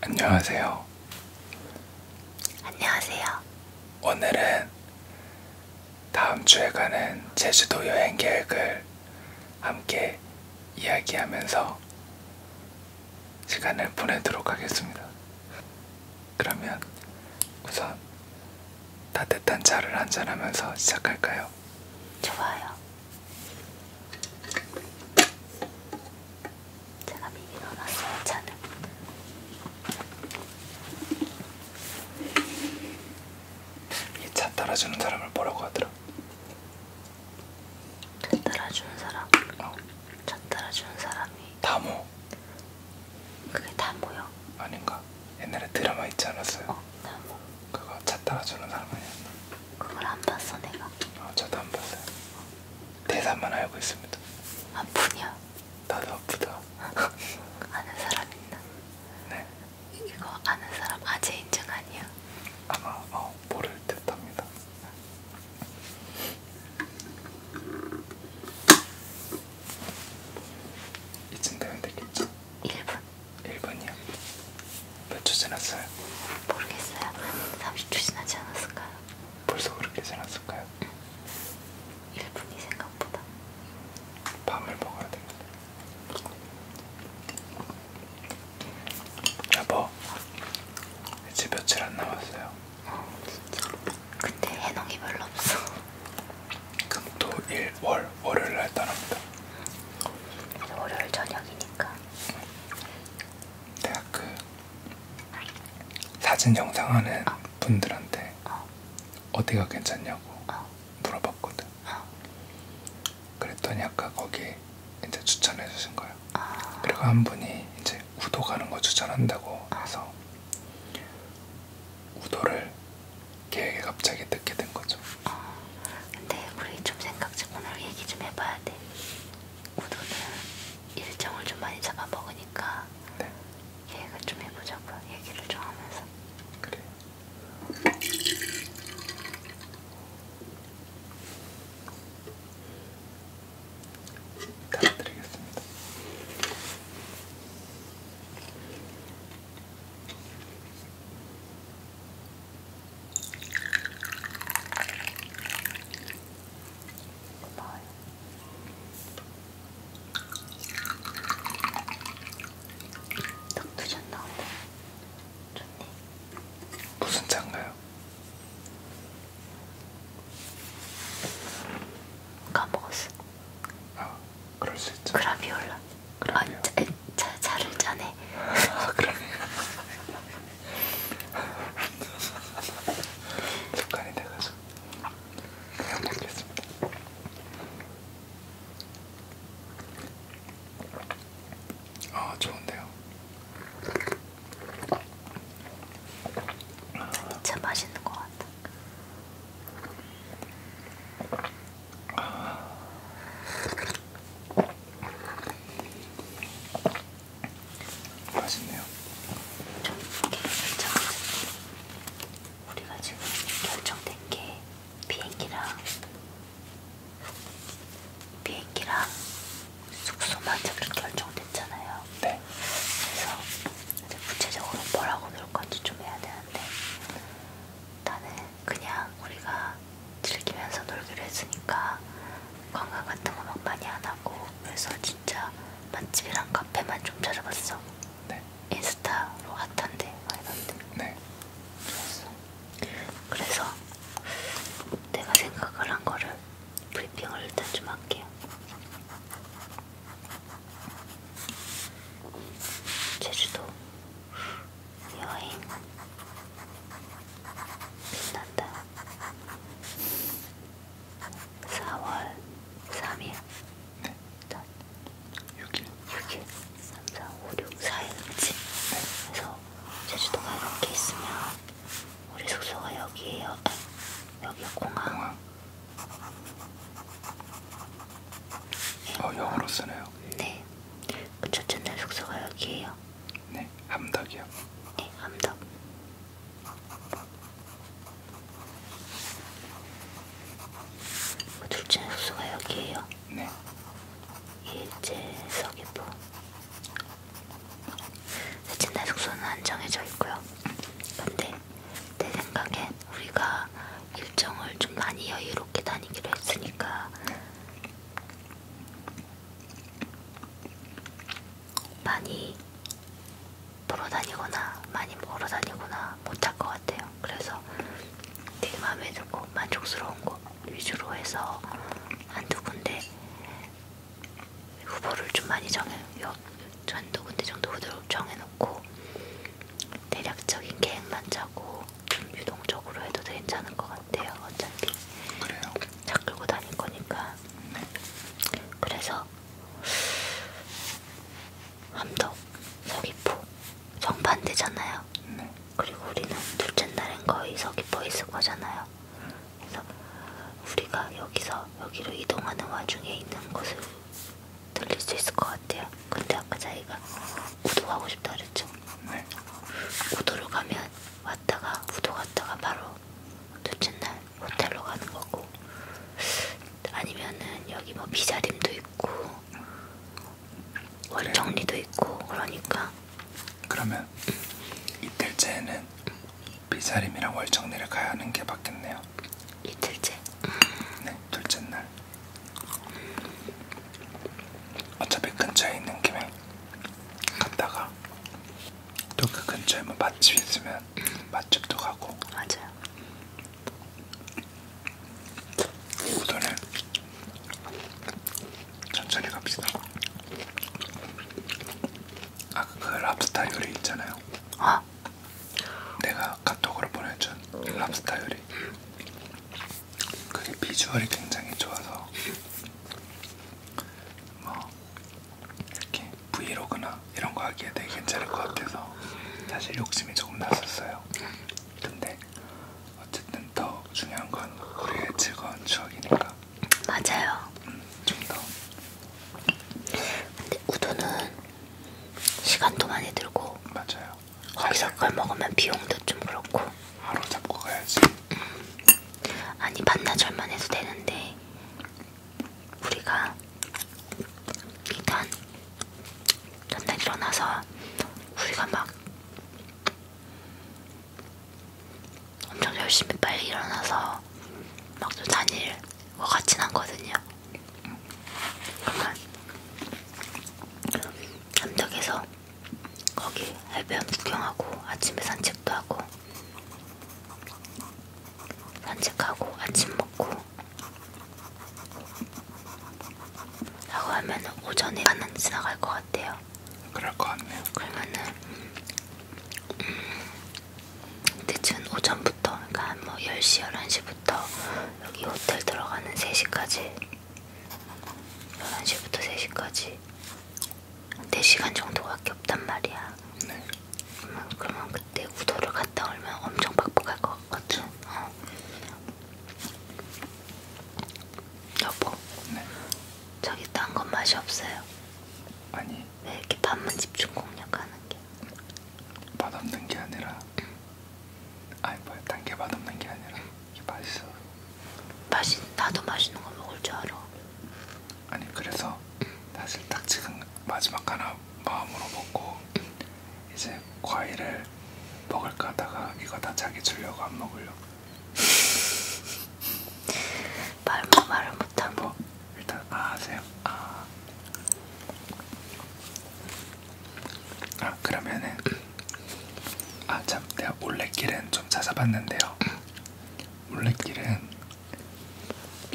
안녕하세요. 안녕하세요. 오늘은 다음 주에 가는 제주도 여행 계획을 함께 이야기하면서 시간을 보내도록 하겠습니다. 그러면 우선 따뜻한 차를 한잔하면서 시작할까요? 좋아요. 제가 미리 넣어놨어요, 차는. 이차 따라주는 사람을 뭐라고 하더라? 차 따라주는 사람? 어. 차 따라주는 사람이. 다모. 그게 다모요? 아닌가? 옛날에 드라마 있지 않았어요? 어, 다모. 그거 차 따라주는 사람 아니었나? 그걸 안 봤어 내가. 어, 저도 안 봤어요. 대사만 알고 있습니다. 아프냐? 나도 아프다. 아는 사람 있나? 네. 이거 아는 사람 아재 인증 아니야? 아마 어, 모를 듯합니다. 이쯤 되면 되겠죠? 1분. 1분이요? 몇초 지났어요? 모르겠어요. 한 30초 지나지 않았을까요? 벌써 그렇게 지났을까요? 응. 음, 1분이 생각보다. 밤을 먹어야 되겠다. 여보, 이제 며칠 안 남았어요. 어, 진짜. 근데 해놓이 별로 없어. 금토 일, 월, 월요일 날 떠납니다. 음, 월요일 저녁이니까. 내가 그 사진 영상하는 어. 분들한테 어. 어디가 괜찮냐고 어. 물어봤거든. 어. 그랬더니 아까 거기 이제 추천해 주신 거예요. 어. 아. 그리고 한 분이 이제 우도 가는 거 추천한다고 어. 해서 우도를 계획에 갑자기 듣게 된 거죠. 어. 근데 우리 좀 생각 좀 오늘 얘기 좀 해봐야 돼. 우도는 일정을 좀 많이 잡아먹으니까 네. 계획을 좀 해보자고요. 얘기를 좀 하면서. 그래요. 달아드리겠습니다. 고마워요. 덕두전 나오네. 좋네. 무슨 차인가요? 까먹었어. 아, 그럴 수 있죠. 그라비올라. 그라비올라. 아, 자, 자, 자를 짜네. 아, 그러네. 습관이 돼가지고 그냥 먹겠습니다. 아 좋은데요. 진짜 맛있는 것 같아. 아... 맛있네요. 좀 결정. 우리가 지금 결정된 게 비행기랑 비행기랑 숙소만 잡기 결정됐잖아요. 네. 그래서 이제 구체적으로 뭐라고 놀 건지 좀 해야 되는데 나는 그냥 우리가 즐기면서 놀기로 했으니까 관광 같은 거 막 많이 안 하고 그래서 진짜 맛집이랑 카페만 좀 찾아봤어. 네. 인스타로 핫한데 많이던데. 네. 그래서, 그래서 내가 생각을 한 거를 브리핑을 일단 좀 할게요. 제주도 여행 빛난다 4월 3일 네. 6일 6일 3, 4, 5, 6, 4일이지 네. 그래서 제주도가 이렇게 있으면 우리 숙소가 여기에요 네, 여기 공항, 공항. 네, 어 영어로 쓰네요 네그 첫째 날 숙소가 여기에요 네, 함덕이요. 네, 함덕. 뭐 둘째 숙소가 여기에요. 네. 일제서귀포. 셋째 날 숙소는 안 정해져 있고요. 근데 내 생각엔 우리가 일정을 좀 많이 여유롭게 다니기로 했으니까 네. 많이 보러 다니거나 많이 먹으러 다니거나 못할 것 같아요. 그래서 되게 마음에 들고 만족스러운 곳 위주로 해서 한두 군데 후보를 좀 많이 정해요. 한두 군데 정도 후보를 정해놓고 대략적인 계획만 짜고 좀 유동적으로 해도 괜찮을 것 같아요. 안 돼요. 어차피 그래요. 차 끌고 다닐 거니까. 네. 그래서 함덕, 서귀포 정반대잖아요. 네. 그리고 우리는 둘째 날엔 거의 서귀포에 있을 거잖아요. 그래서 우리가 여기서 여기로 이동하는 와중에 있는 것을 들릴 수 있을 것 같아요. 근데 아까 자기가 우도가고 싶다 그랬죠. 네. 우도로 가면 왔다가 우도 갔다가 바로 둘째 날 호텔로 가는 거고 아니면은 여기 뭐 비자림도 있고 월정리도 그래. 있고 그러니까 그러면 이틀째는 비자림이랑 월정리를 가야 하는 게 맞겠네요. 이틀째. 네, 둘째 날. 어차피 근처에 있는 김에 갔다가 또 그 근처에 뭐 맛집 있으면 맛집도 가고 맞아요. 우도는 천천히 갑시다. 아까 그, 그 랍스타 요리 있잖아요. 아? 내가 카톡으로 보내준 랍스타 요리 그게 비주얼이 굉장히 좋아서 뭐 이렇게 브이로그나 이런 거 하기에 되게 괜찮을 것 같아서 사실 욕심이 조금 났었어요. 근데 어쨌든 더 중요한 건 우리의 즐거운 추억이니까. 맞아요. 음, 좀 더. 근데 우도는 시간도 많이 들고. 맞아요. 거기서 그걸 먹으면 비용도 좀 그렇고. 바로 잡고 가야지. 아니 반나절만 해도 되는데 우리가 일단 전날 일어나서 우리가 막 엄청 열심히 빨리 일어나서 막좀 다닐 것 같진 않거든요. 그러면 잠덕에서 거기 해변 구경하고 아침에 산책도 하고 산책하고 아침 먹고 라고 하면은 오전에 반은 지나갈 것 같아요. 그럴 것 같네요. 그러면은 음, 늦은 오전부터 그러니까 뭐 10시, 11시부터 여기 호텔 들어가는 3시까지 11시부터 3시까지 4시간 정도밖에 없단 말이야. 네. 그러면, 그러면 그때 우도를 갔다 오면 엄청 빡빡할 것 같거든. 어. 여보, 네. 저기 딴 건 맛이 없어요. 아니. 왜 이렇게 반만 집중 공략하는 게? 맛없는 게 아니라. 아니 뭐야, 딴게 맛없는 게 아니라. 이게 맛있어. 맛이 나도 맛있는 거 먹을 줄 알아. 아니 그래서 사실 딱 지금 마지막 하나 마음으로 먹고 이제 과일을 먹을까 하다가 이거 다 자기 주려고 안 먹으려고. 말만 말을 못하고 뭐, 일단 아 하세요. 아, 아 그러면은. 아참 내가 올레길은 좀 찾아봤는데요. 올레길은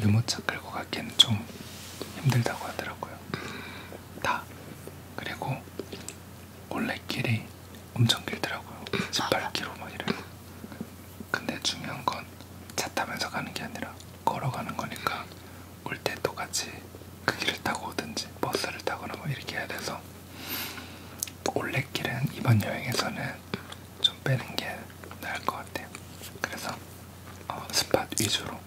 유모차 끌고 가기에는 좀 힘들다고 하더라고요. 다 그리고 올레길이 엄청 길더라고요. 18km 막 이래. 근데 중요한 건 차 타면서 가는 게 아니라 걸어가는 거니까 올때 똑같이 그 길을 타고 오든지 버스를 타거나 뭐 이렇게 해야 돼서 올레길은 이번 여행에서는 좀 빼는 게 나을 것 같아요. 그래서 어, 스팟 위주로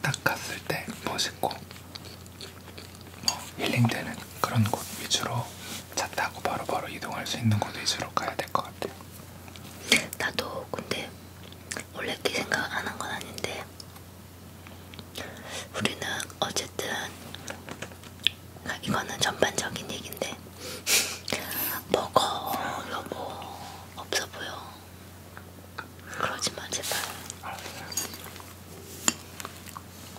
딱 갔을 때 멋있고 뭐 힐링되는 그런 곳 위주로 차 타고 바로바로 바로 이동할 수 있는 곳 위주로 가야 될 것 같아요. 나도 근데 올레길 생각 안 한 건 아닌데 우리는 어쨌든 이거는 전반적인 얘긴데 먹어 여보 없어 보여 그러지마 제발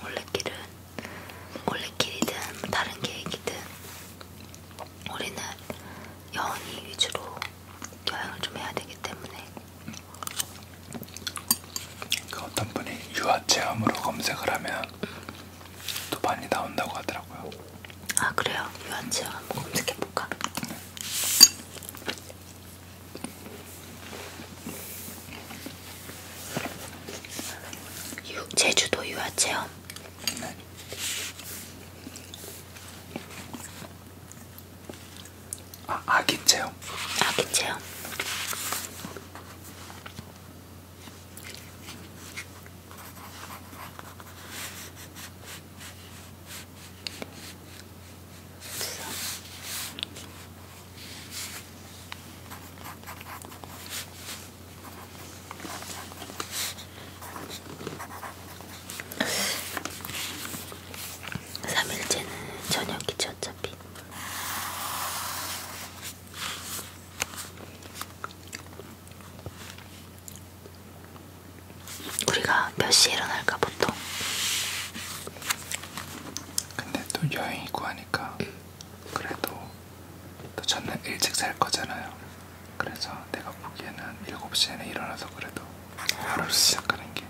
올레길은 올레길이든 다른 계획이든 우리는 여운이 위주로 여행을 좀 해야 되기 때문에 그 어떤 분이 유아체험으로 검색을 하면 또 많이 나온다고 하더라고요. 아 그래요? 유아체험 한번 검색해 볼까? 네. 유, 제주도 유아체험. 네. 아 아기 체험. 아기 체험. 3일째는 저녁이지 어차피 우리가 몇 시에 일어날까 보통? 근데 또 여행이고 하니까 응. 그래도 또 전날 일찍 잘 거잖아요. 그래서 내가 보기에는 7시에는 일어나서 그래도 하루를 시작하는 게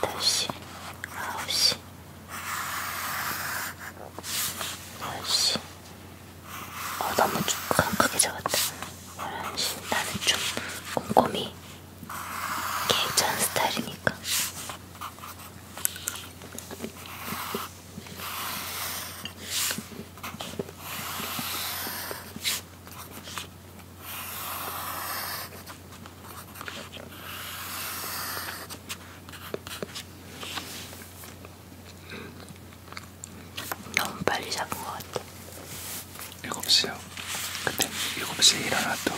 8시, 9시, 10시 어, 너무 좀 크게 적었다 11시 나는 좀 꼼꼼히 계획 스타일이니까 너무 빨리 잡은 것 같아. 7시요. 그때 7시에 일어나도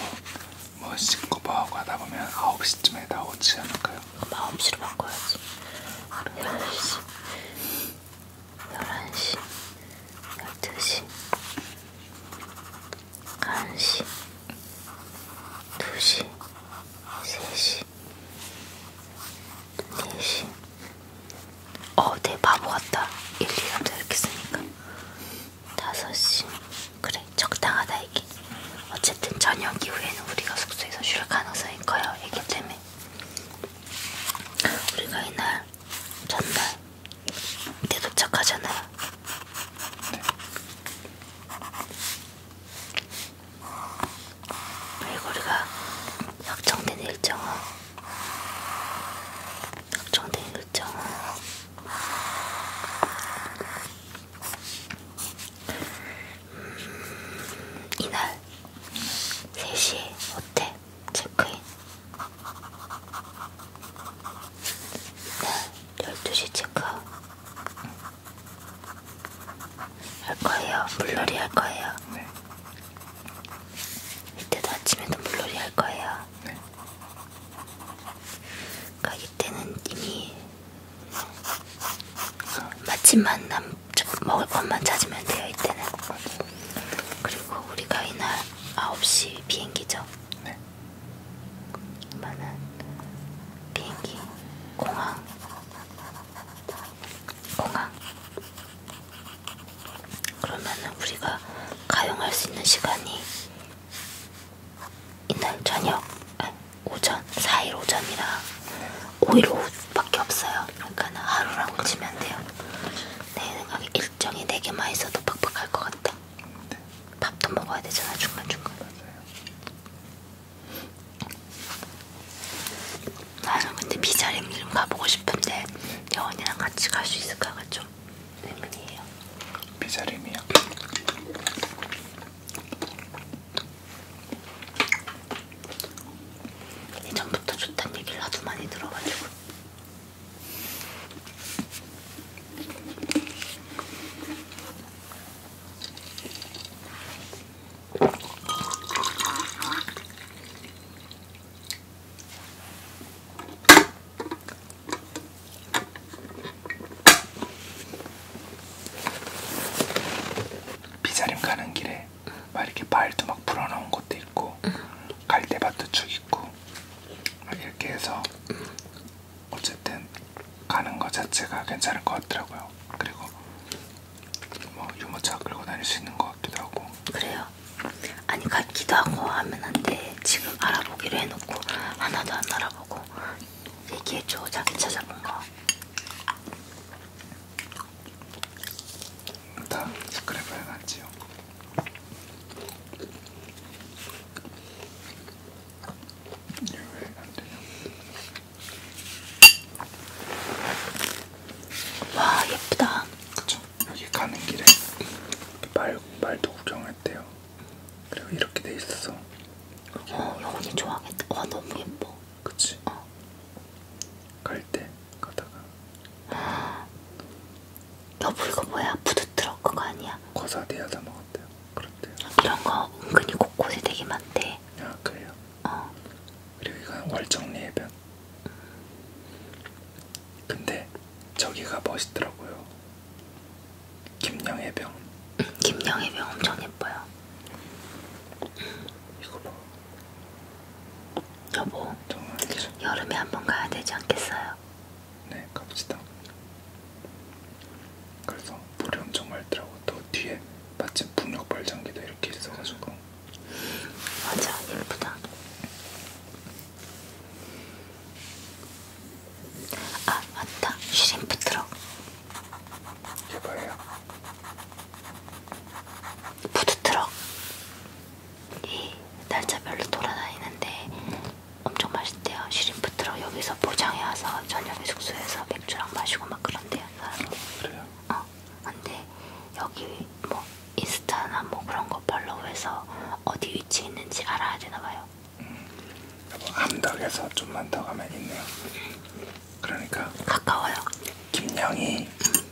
뭐 씻고 뭐하고 하다 보면 9시쯤에 다 오지 않을까요? 그럼 9시로 바꿔야지. 하루 11시, 11시, 12시, 1시, 2시, 3시, 4시 어, 내 바보 같다. 1, 2, 3, 4 이렇게 쓰니까 5시 그래, 적당하다 이게 어쨌든 저녁 이후에는 우리가 숙소에서 쉴 가능성이 커요, 애기 때문에 우리가 이날 오늘 전날 이때 도착하잖아요. 네. 그리고 우리가 확정된 일정은 확정된 일정은 음, 이날 3시에 호텔 네, 체크인. 네, 12시 체크아웃. 할 거예요. 물놀이 할 거예요. 네. 이때도 아침에도 물놀이 할 거예요. 네. 가기 그러니까 때는 이미 마침 만남 먹을 것만 찾으면 돼요. 이때는. 아, 네. 그리고 우리가 이날 9시 비행기죠. 네. 엄마는 비행기, 공항, 공항. 그러면은 우리가 가용할 수 있는 시간이 이날 저녁, 아니, 오전, 4일 오전이랑 5일 오후밖에 없어요. 그러니까 하루라고 치면 돼요. 내 생각에 일정이 4개만 있어도 팍팍할 것 같아. 네. 밥도 먹어야 되잖아, 중간중간. 맞아요. 나는 근데 미자림 좀 가보고 싶은데 여원이랑 같이 갈 수 있을까가 좀 의문이에요. 미자림이요? 예전부터 좋다는 얘기를 하도 많이 들어가지고 비자림 가는 길에 막 이렇게 발도 막 불어나온 것도 있고 갈대밭도 쭉 있고 이렇게 해서 어쨌든 가는 것 자체가 괜찮을 것 같더라고요. 그리고 뭐 유모차 끌고 다닐 수 있는 것 같기도 하고. 그래요? 아니 같기도 하고 하면 안 돼. 지금 알아보기로 해놓고 하나도 안 알아보고 얘기해줘. 자기 찾아본 거. 다 스크랩을 해놨지요. 와 예쁘다. 그쵸? 여기 가는 길에 말 말도 구경했대요. 그리고 이렇게 돼 있어서. 어 영훈이 좋아하겠다. 와 너무 예뻐. 그치? 어. 갈때 가다가. 여보 이거 뭐야? 푸드트럭 그거 아니야? 과사대야 다 먹었대요. 그렇대요. 이런 거 은근히 곳곳에 되게 많대. 아 그래요? 어. 그리고 이건 월정리 해변. 근데 저기가 멋있더라고요. 김영해병. 응, 김영해병 엄청 예뻐요. 이거 봐. 여보. 정말 여름에 한 번 가야 되지 않겠어요? 네, 갑시다. 그래서 불이 엄청 맑더라고. 또 뒤에 마침 풍력 발전기도 이렇게 있어가지고. 맞아, 예쁘다. 아, 맞다. 슈림프 트럭. 이거예요? 푸드 트럭. 이 날짜별로 돌아다니는데 엄청 맛있대요. 슈림프트로 여기서 포장해 와서 저녁에 숙소에서 맥주랑 마시고 막 그런데요. 사람들. 어, 그래요? 어, 근데 여기 뭐 인스타나 뭐 그런 거 팔로우해서 어디 위치 있는지 알아야 되나 봐요. 음, 뭐 암덕에서 좀만 더 가면 있네요. 음. 그러니까 가까워요. 김양이 음.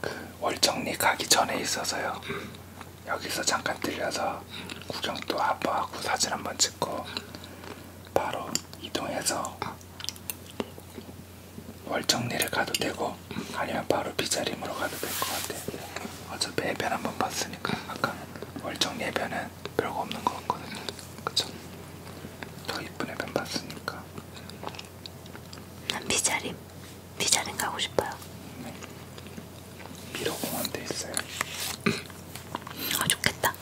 그 월정리 가기 전에 있어서요. 음. 여기서 잠깐 들려서 음. 구경 또 한번 하고 사진 한번 찍고 바로 이동해서 월정리를 가도 되고 아니면 바로 비자림으로 가도 될 것 같아요. 어차피 해변 한번 봤으니까 아까 월정리 해변은 별거 없는 것 같거든요. 그쵸? 더 이쁜 해변 봤으니까 난 비자림, 비자림 가고 싶어요. 네. 미러공원도 있어요. 아 좋겠다.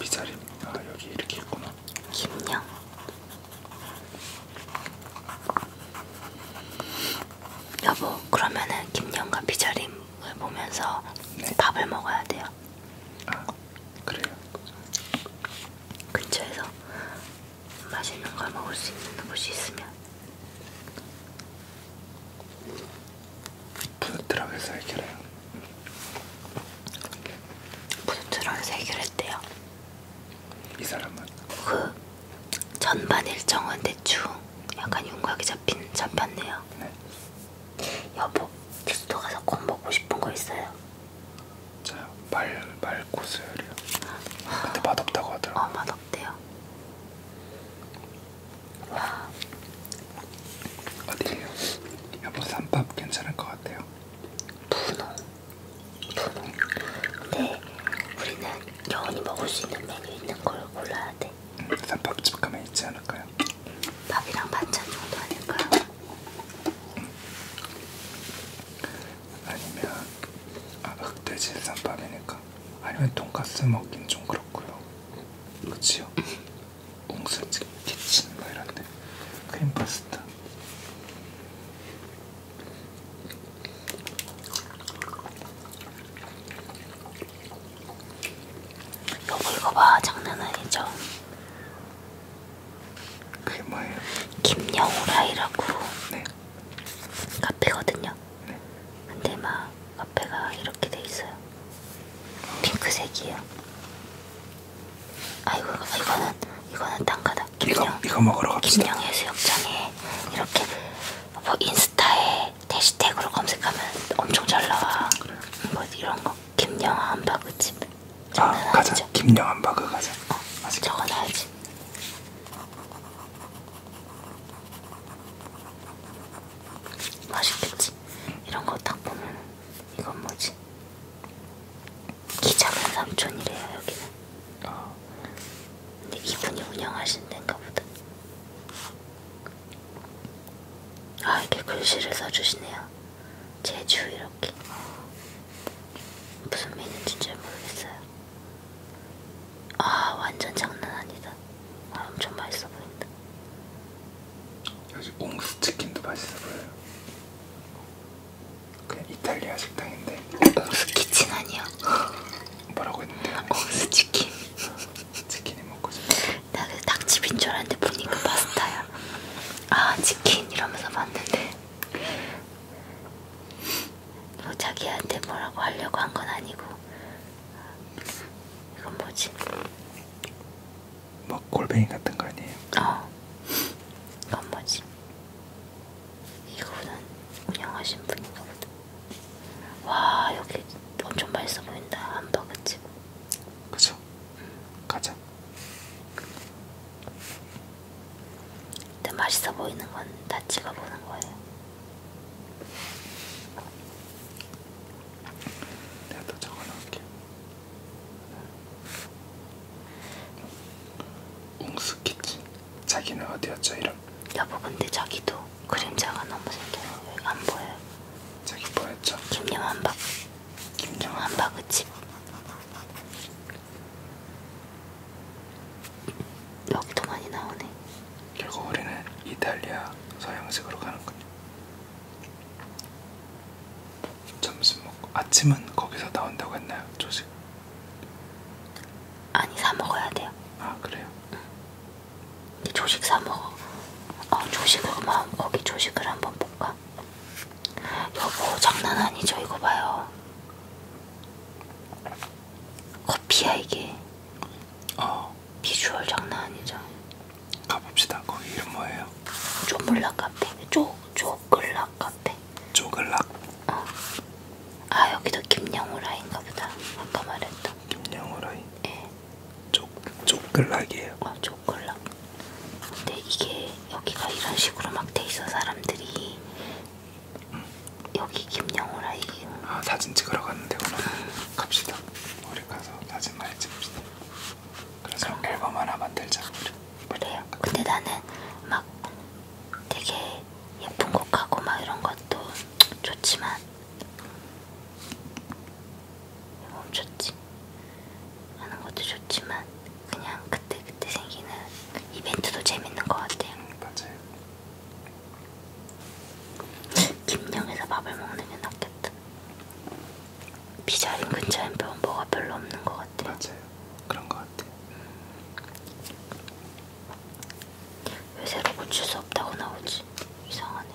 비자림, 아 여기 이렇게 있구나. 김영. 여보, 그러면은 김영과 비자림을 보면서 네. 밥을 먹어야 돼요. 아, 그래요. 근처에서 맛있는 걸 먹을 수 있는 곳이 있으면 푸드트럭에서 해결해요. 푸드트럭에서 해결했대요. 이 사람은? 그 전반 일정은 대충 약간 윤곽이 잡힌, 잡혔네요. 네. 여보, 제주도 가서 꼭 먹고 싶은 거 있어요. 자, 말, 말코스열이요. 근데 맛없다고 하더라고요. 어, 아, 맛없대요. 어디에요? 여보, 쌈밥 괜찮을 것 같아요. 분홍. 분홍. 근데 네. 우리는 여운이 먹을 수 있는 메뉴 있는 걸 골라야 돼. 음, 쌈밥집 가면 있지 않을까요? 밥이랑 반찬 정도 아닐까요? 음. 아니면 아, 흑돼지 쌈밥이니까 아니면 돈가스 먹긴 좀 그렇고요. 그치요? 옹수집 키친 뭐 이런데 크림 파스타. 여기 이거 봐 장난 아니죠? 그게 뭐예요? 김영호라이라고 네. 카페거든요. 네. 근데 막 카페가 이렇게 돼 있어요. 핑크색이에요. 아 이거 이거는 이거는 딴가다. 김영 이거, 이거 먹으러 갑시다. 김영 해수욕장에 이렇게 뭐 인스타에 대시태그로 검색하면 엄청 잘 나와. 그래. 뭐 이런 거 김영 함바그 집. 아 가자. 김영 함바그 가자. 어, 저건 알지. 맛있겠지? 이런 거 딱 보면 이건 뭐지? 키 작은 삼촌이래요 여기는. 어. 근데 이분이 운영하신 데인가 보다. 아 이렇게 글씨를 써주시네요. 제주 이렇게. 무슨 미인인지 잘 모르겠어요. 아 완전 장난 아니다. 아, 엄청 맛있어 보인다. 사실 옹스 치킨도 맛있어 보여요. 그냥 이탈리아 식당인데. 옹스 키친 아니야? 뭐라고 했는데? 옹스 치킨. 치킨이 먹고 싶어. 나그 닭집인 줄 알았는데 보니까 파스타야. 아 치킨 이러면서 봤는데 뭐 자기한테 뭐라고 하려고 한 건 아니고 이건 뭐지? 뭐 골뱅이 같은 거 아니에요? 어 이건 뭐지? 이거는 운영하신 분인가 보다 와 여기 엄청 맛있어 보인다 한바그집 그쵸? 응. 음. 가자 근데 맛있어 보이는 건 다 찍어보는 거예요. 내가 또 적어놓을게. 웅스키치. 자기는 어디였죠 이름? 여보 근데 자기도 그림자가 너무 생겨요. 여기가 안 보여요. 자기 뭐였죠? 김영한박. 김영한박의 집. 여기도 많이 나오네. 결국 우리는 이탈리아 서양식으로 가는군요. 점심 먹고 아침은 거기서 나온다고 했나요? 조식? 아니 사 먹어야 돼요. 아 그래요? 응. 근데 조식 사 먹어. 어 조식으로만 거기 조식을 한번 볼까? 여보 장난 아니죠 이거 봐요. 커피야 이게. 어. 비주얼 장난 아니죠. 가봅시다. 거기 이름 뭐예요? 쪼물락 카페. 쪼 쪼글락 카페. 쪼글락. 어. 아 여기도 김영우 라인가 보다. 아까 말했던. 김영우 라인. 예. 쪼 쪼글락이에요. 어 쪼글락. 근데 이게 여기가 이런 식으로 막 돼 있어 사람들이 여기 김영우라 이게 아 사진 찍으러 갔는데 오늘 갑시다 우리 가서 사진 많이 찍읍시다 그래서 그럼. 앨범 하나 만들자 우리. 그래요 근데 나는 막 되게 예쁜 곡하고 막 이런 것도 좋지만 몸 좋지 하는 것도 좋지만 그냥 그때 그때 생기는 이벤트도 재밌는 것 같아요. 맞아요. 김영에서 밥을 먹는 게 낫겠다. 비자린 근처엔 뭐, 뭐가 별로 없는 것 같아요. 맞아요. 그런 것 같아요. 요새로 고칠 수 없다고 나오지. 이상하네.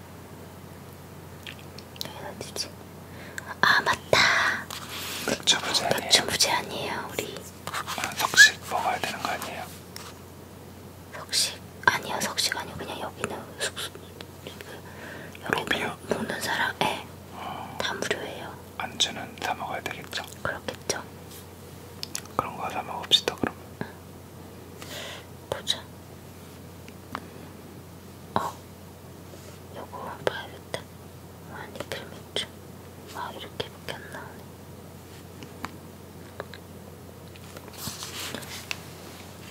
어디지? 네, 아 맞다. 맥주 부제 아니에요? 맥주 부제 아니에요 우리. 아, 석식 먹어야 되는 거 아니에요? 석식 아니야 석식 아니고 그냥 여기는 숙소 여기는 먹는 사람 예. 어. 다 무료예요. 안주는 다 먹어야 되겠죠? 그렇겠죠. 그런 거다 먹읍시다 그럼. 응. 보자. 어, 요거만 봐야겠다. 아, 니켈 맥주. 아, 이렇게밖에 안 나오네.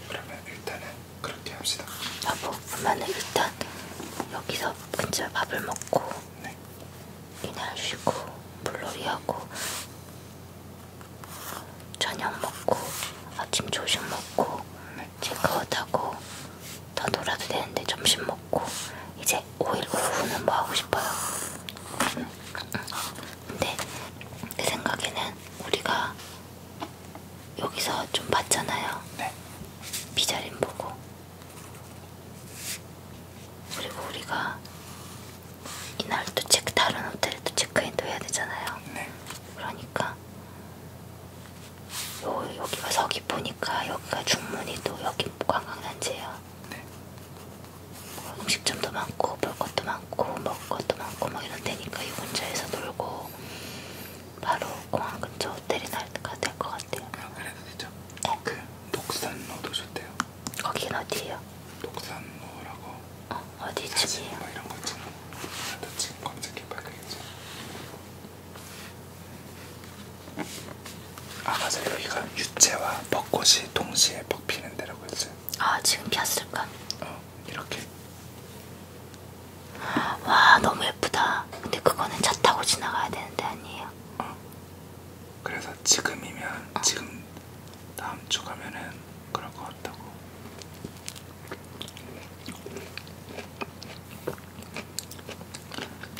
그러면 일단은 그렇게 합시다. 여보, 아, 뭐, 그러면 일단 여기서 근처에 밥을 먹고 네. 이날 쉬고 물놀이하고 저녁 먹고 아침 조식 먹고 네. 체크아웃하고 더 놀아도 되는데 점심 먹고 이제 5일 오후는 뭐 하고 싶어요. 근데 내 생각에는 우리가 여기서 좀 봤잖아요. 네. 비자림 보고 그리고 우리가 이날 또 체크 다른 호텔에 또 체크인도 해야 되잖아요. 네. 그러니까 요, 어, 여기가 서귀포니까 여기가 중문이도 여기 관광단지예요. 네. 뭐 음식점도 많고 볼 것도 많고 먹을 것도 많고 막 이런 데니까 이 근처에서 놀고 바로 공항 근처 호텔이나 가도 될것 같아요. 아, 그래도 되죠? 네. 그 녹산로도 좋대요. 거긴 어디예요? 녹산로라고. 어, 어디쯤이에요? 뭐 이런 거 있잖아. 너 지금 검색해봐야 되겠지? 아 맞아 여기가 유채와 벚꽃이 동시에 벚피는 데라고 했지? 아 지금 피었을까? 어 이렇게 와 너무 예쁘다 근데 그거는 차 타고 지나가야 되는데 아니에요? 어 그래서 지금이면 어. 지금 다음 주 가면은 그럴 것 같다고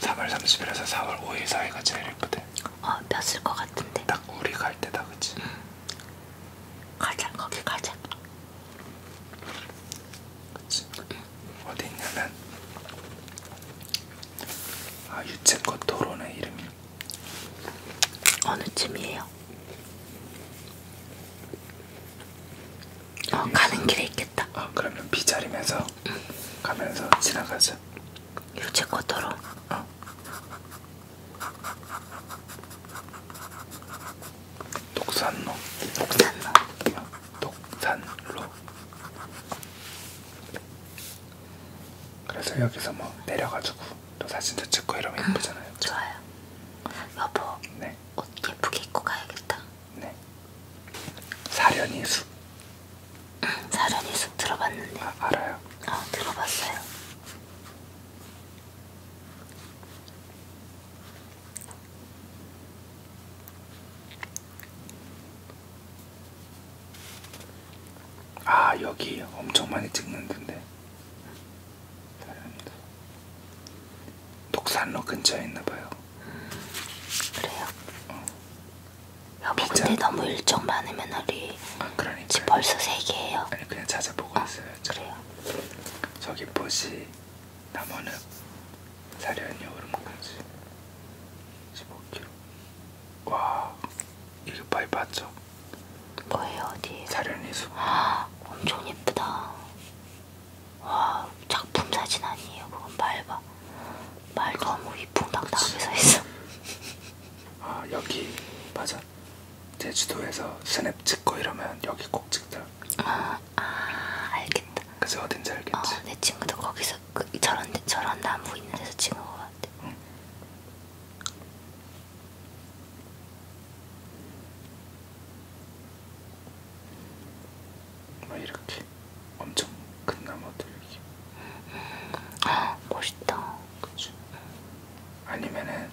3월 30일에서 4월 5일 사이가 제일 예쁘대. 어, 폈을 것 같은데. 딱 우리 갈 때다, 그치? 응. 가자, 거기 가자. 그치? 응. 어디 있냐면, 아, 유채꽃 도로네, 이름이. 어느 쯤이에요? 어, 가는 길에 있겠다. 어, 그러면 비자리면서 응. 가면서 지나가자. 요새 거더러. 어. 독산로. 독산로. 어, 독산로. 그래서 여기서 뭐 내려가지고 또 사진도 찍고 이러면 예쁘잖아요. 응, 좋아요. 여보. 네. 네. 옷 예쁘게 입고 가야겠다. 네. 사련이 숲. 응, 사련이 숲 들어봤는데. 아, 알아요? 아, 들어봤어요. 아, 여기 엄청 많이 찍는 데인데. 다행이다. 네, 녹산로 근처에 있나봐요. 그래요. 어. 여기 비자. 근데 너무 일정 많으면 우리 아, 집 벌써 세 개예요. 아니 그냥 찾아보고 아, 있어요. 저. 그래요. 저기 보시 남원읍 사려니 오름까지 15km. 와 이거 빨리 봤죠? 뭐예요 어디? 사려니 숲. 아 엄청 예쁘다. 와 아, 작품 사진 아니에요. 그건 말봐. 말 너무 위풍당당하게 서있어. 아 여기 맞아. 제주도에서 스냅 찍고 이러면 여기 꼭 찍더라. 아, 아 알겠다. 그래서 어딘지 알겠지. 어, 내 친구도 거기서 그, 저런 저런 나무 있는 데서 찍은 것 같아. 응. 뭐 이렇게 엄청 큰 나무들 이렇게 아 멋있다 그치? 아니면은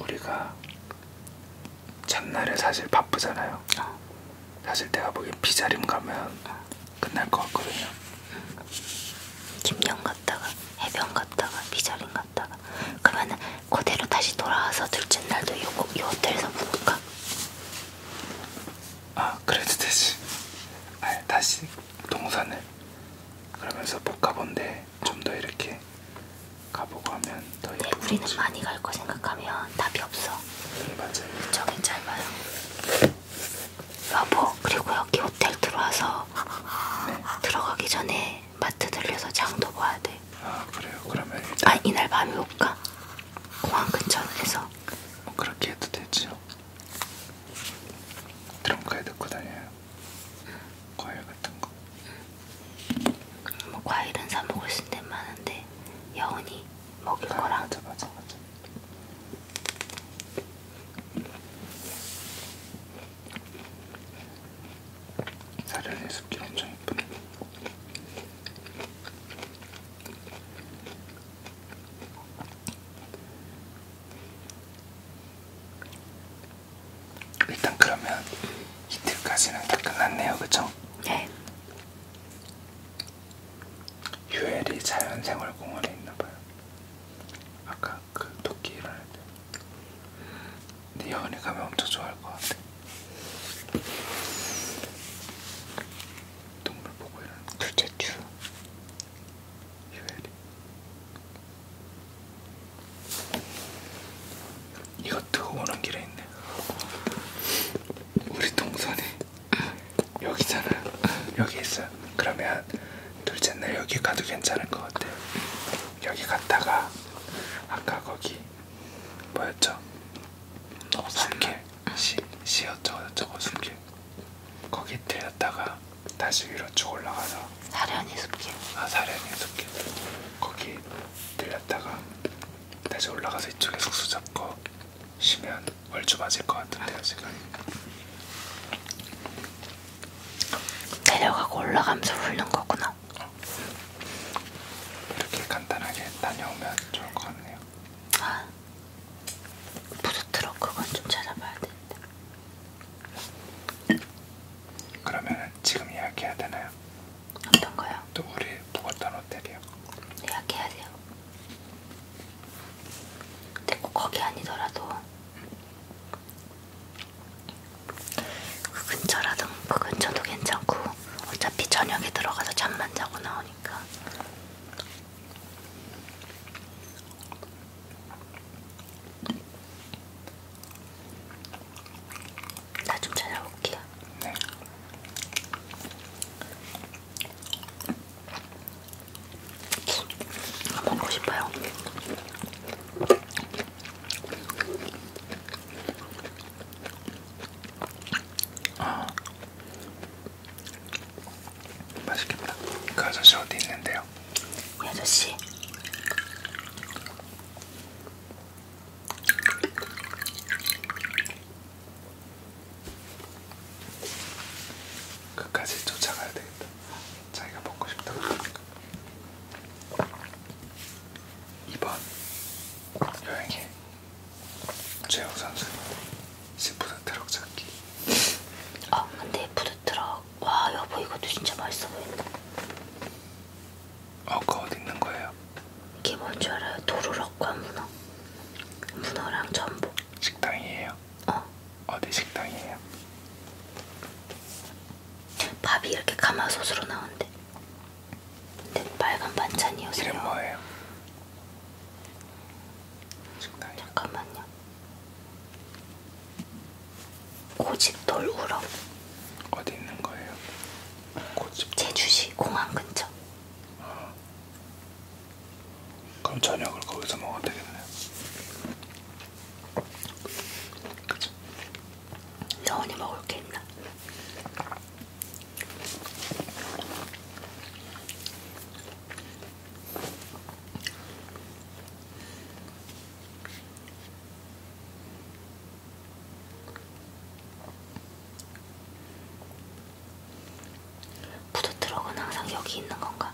우리가 전날에 사실 바쁘잖아요 어. 사실 내가 보기엔 비자림 가면 어. 끝날 것 같거든요 김경 갔다가 해변 갔다가 비자림 갔다가 그러면은 그대로 다시 돌아와서 둘째 날도 요, 요 호텔에서 묵을까? 아 그래도 되지 아니, 다시 동산을 그러면서 못 가본데 좀 더 이렇게 가보고 하면 더 네, 우리는 거지. 많이 갈 거 생각하면 답이 없어 음, 맞아요 저긴 짧아요 여보 그리고 여기 호텔 들어와서 네. 들어가기 전에 마트 들려서 장도 봐야 돼아 그래요? 그러면 아 이날 밤에 올까? 공항 근처에서 뭐 그렇게 해도 되지요. 트렁크에 넣고 다녀요. 응. 과일 같은 거. 응. 뭐 과일은 사 먹을 수 있는 데 많은데 여운이 먹일 아, 거랑. 맞아 맞아 맞아. 사련의 숲길 엄청 예쁘네. 일단 그러면 이틀까지는 다 끝났네요, 그쵸? 네. 유엘이 자연생활공원에 있나봐요. 아까 그 도끼 일어날 때. 니언이 가면 엄청 좋아할 것 같아. 동물 보고 이런 둘째주 유엘이 이것도 오는 길에 있네. 우리 동선이 여기잖아. 여기 있어. 그러면 둘째 날 여기 가도 괜찮을 것 같아. 여기 갔다가 아까 거기 뭐였죠? 어, 숨길 시, 시였죠 저거 숨길 거기 들렸다가 다시 위로 쭉 올라가서 사련이 숲길 아 사련이 숲길 거기 들렸다가 다시 올라가서 이쪽에 숙소 잡고 쉬면 월주 맞을 것 같은데요 지금 내려가고 올라가면서 훑는 거구나 이렇게 간단하게 다녀오면 좋을 것 같네요. 아, 푸드트럭 그건 좀 찾아봐야 되는데. 그러면 지금 예약해야 되나요? 어떤 거요? 또 우리 묵었던 호텔이요. 예약해야 돼요. 근데 꼭 거기 아니더라도 그 근처라든 그 근처도 괜찮고 어차피 저녁에 들어가서 잠만 자고 나오니까 나 좀 찾아볼게요. 네. 먹고 싶어요. 아, 맛있겠다. 그 아저씨 어디 있는데요? 그 아저씨. 끝까지 쫓아가야 되겠다. 자기가 먹고 싶다고. 이번 여행의 최우선순위 시푸드 트럭 찾기. 아 근데 푸드 트럭 와 여보 이것도 진짜 맛있어 보인다. 어그 어디 있는 거예요? 이게 뭔지 알아요? 도루럭과 문어. 문어랑 전복. 식당이에요? 어. 어디 식당이에요? 밥이 이렇게 가마솥으로 나온대. 근데 빨간 반찬이었어요. 이름 뭐예요? 잠깐만요. 고집 돌우럭. 어디 있는 거예요? 고집. 제주시 공항 근처. 아. 그럼 저녁을 거기서 먹어도 되겠네요. 그죠? 영원히 먹을 게 있나? 푸드트럭은 항상 여기 있는 건가?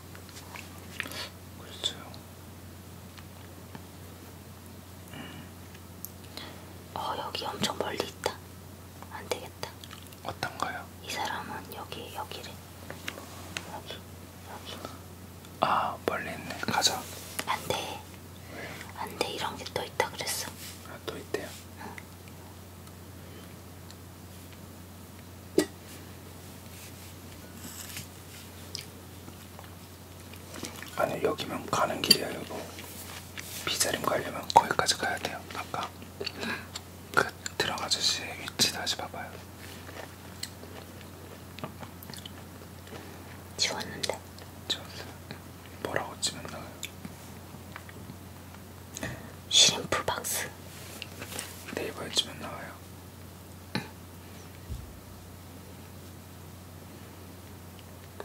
글쎄요. 어 여기 엄청 멀리 있다. 안 되겠다. 어떤가요? 이 사람은 여기 여기래. 여기 여기. 아 멀리 있네. 가자. 안 돼. 왜? 안 돼. 이런 게 또 있다 그랬어. 아또 있대요. 응. 아니 여기면 가는 길이야 여보 비자림 가려면 거기까지 가야 돼요 아까 그 들어가 주시 위치 다시 봐봐요 지웠는데 지웠어요 뭐라고 치면 나와요? 쉬림프 박스 네이버에 치면 나와요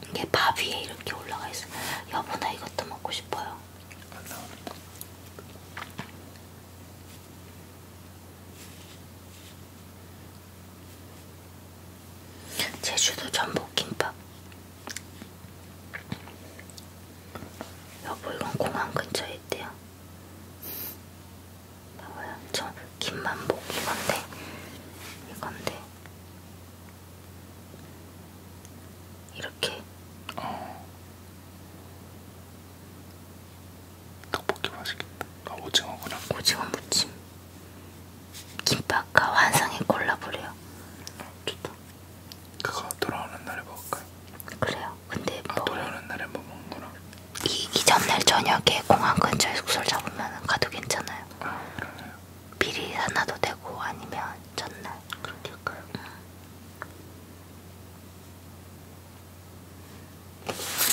이게 밥 위에 이렇게 올라가 있어. 여보 나 이것도 먹고 싶어요. 안 나오네. 제주도 전복김밥. 여보 이건 공항 근처에 있대요. 봐봐요. 저 긴만복 이건데 이건데 이렇게 어. 떡볶이 맛있겠다. 아 오징어구나. 오징어 무침. 김밥과 환상의 콜라보래요. 어, 좋다. 그거 돌아오는 날에 먹을까요? 그래요. 근데 아, 뭐 돌아오는 날에 뭐 먹는구나. 이, 이 전날 저녁에 공항 근처에 숙소를 잡으면 가도 괜찮아요. 아, 그러네요. 미리 사놔도 되고 아니면 전날. 그렇게 할까요? 음.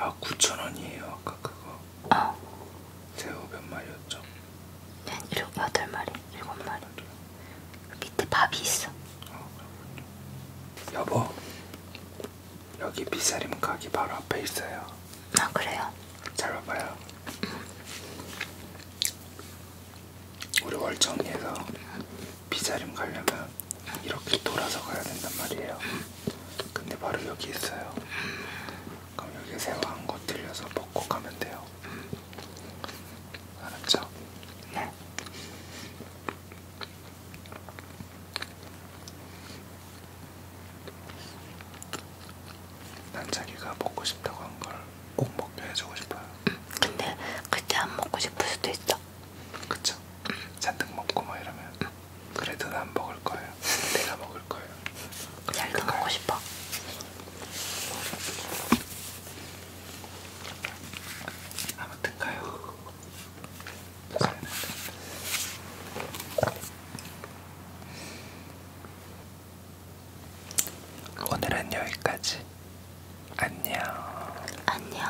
아 9,000원이에요 아까 그거 어 아. 새우 몇 마리였죠? 한 7, 8마리 7마리 밑에 밥이 있어 어, 여보 여기 비사림 가게 바로 앞에 있어요 아 그래요? 잘 봐봐요 음. 우리 월정리에서 비자림 가려면 이렇게 돌아서 가야 된단 말이에요. 근데 바로 여기 있어요. 그럼 여기 새우 한곳 들려서 먹고 가면 돼요. 알았죠? 네. 난 자기가 먹고 싶다고 한 걸 꼭 먹게 해주고 싶어요. 응. 음, 근데 그때 안 먹고 싶을 수도 있어. 그쵸? 응. 잔뜩 먹고 막 이러면 응. 음. 그래도 난 먹을 거예요. 내가 먹을 거예요. 잘도 먹고 싶어. 아무튼 가요. 음. 오늘은 여기까지. 안녕. 안녕.